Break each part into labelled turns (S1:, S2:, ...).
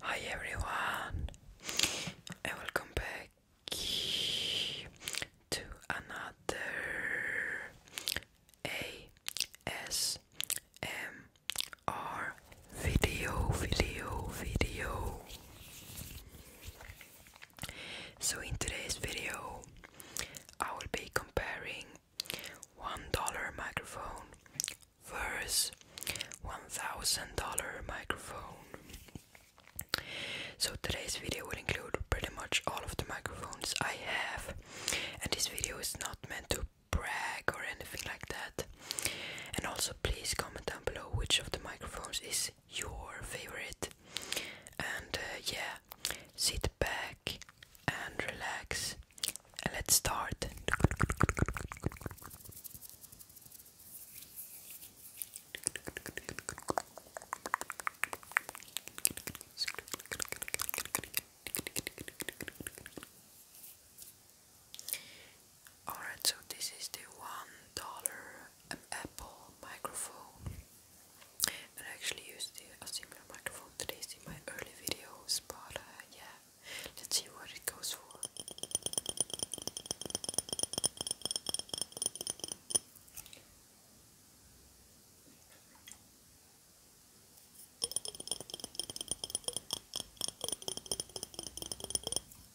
S1: Hi everyone, and welcome back to another ASMR video, video, video. So, in today's video, I will be comparing $1 microphone versus $1000 microphone. So, today's video will include pretty much all of the microphones I have, and this video is not meant to brag or anything like that. And also, please comment down below which of the microphones is your favorite. And uh, yeah, sit back and relax. And let's start. Alright, so this is the one dollar Apple microphone, and I actually used a similar microphone today in my early videos, but uh, yeah, let's see what it goes for.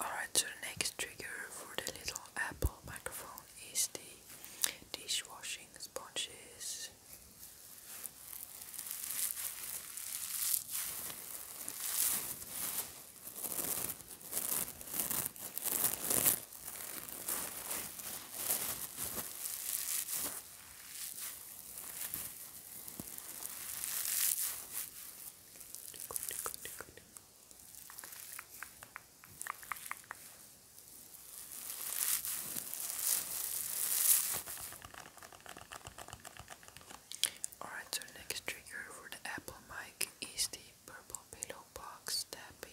S1: Alright, so the next trigger for the little Apple microphone is the dishwashing sponges. Alright, so next trigger for the Apple mic is the purple pillow box tapping.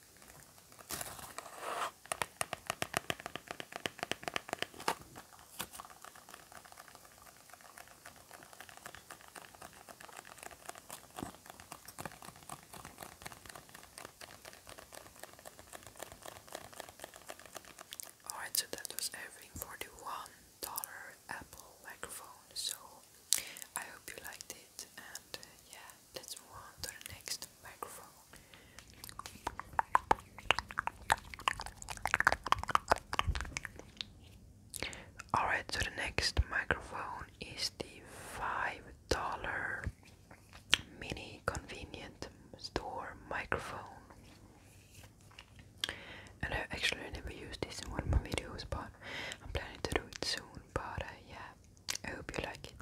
S1: Oh, Alright, so that was every forty-one-dollar Apple microphone. So I hope you liked it, and uh, yeah, let's move on to the next microphone. Alright, so the next microphone is the $5 mini convenient store microphone. And I actually never used this in one of my videos, but I'm planning to do it soon. But uh, yeah, I hope you like it.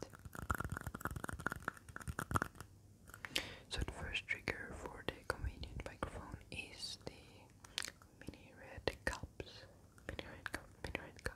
S1: So the first trigger for the convenient microphone is the mini red cups. Mini red cup, mini red cups.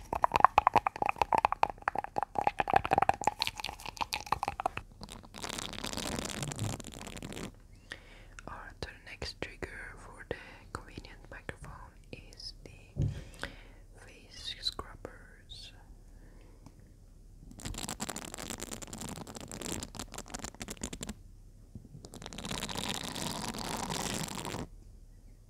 S1: Alright, next trigger for the convenient microphone is the face scrappers.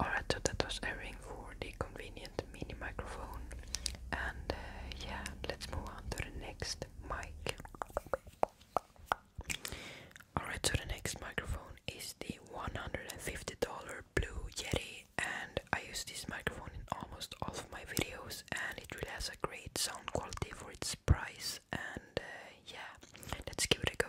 S1: Alright, so that was a ring for the convenient mini microphone. And uh, yeah, let's move on to the next mic. Alright, so the next microphone is the $150 Blue Yeti, and I use this microphone in almost all of my videos, and it really has a great sound quality for its price. And uh, yeah, let's give it a go.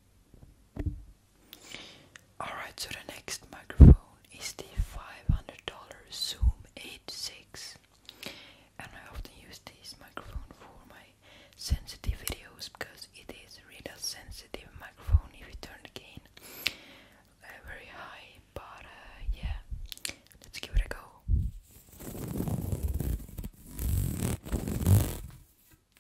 S1: Alright, so the next microphone is the $500 Zoom 86 and I often use this microphone for my sensitive videos because it is really a sensitive microphone if you turn the gain uh, very high, but uh, yeah, let's give it a go.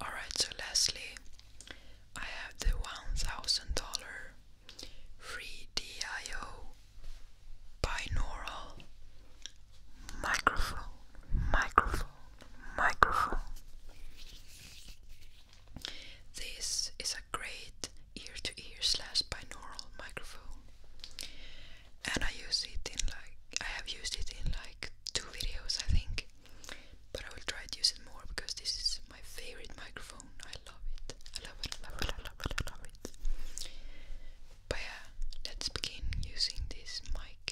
S1: All right, so lastly, I have the $1,000 free DIO binaural microphone, microphone, microphone. This is a great ear-to-ear slash binaural microphone, and I use it in like I have used it in like two videos, I think. But I will try to use it more because this is my favorite microphone. I love it. I love it. I love it. I love it. I love it. But yeah, let's begin using this mic.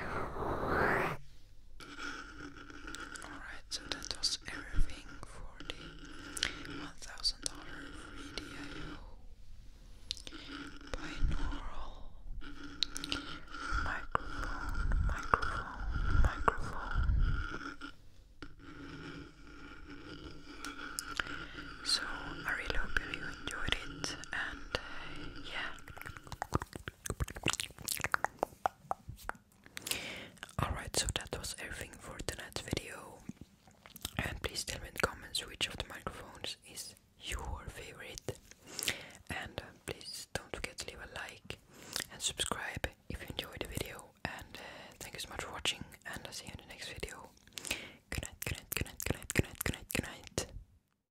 S1: Alright, so that was everything for the $1,000 free DIO binaural microphone, microphone, microphone. So I really hope you enjoyed it and uh, yeah. Alright, so that was everything for tonight's video. And please tell me in the comments which of the microphones is your favorite. And uh, please don't forget to leave a like and subscribe if you enjoyed the video. And uh, thank you so much for watching,
S2: and I'll see you in the next video. Good night, good night, good night, good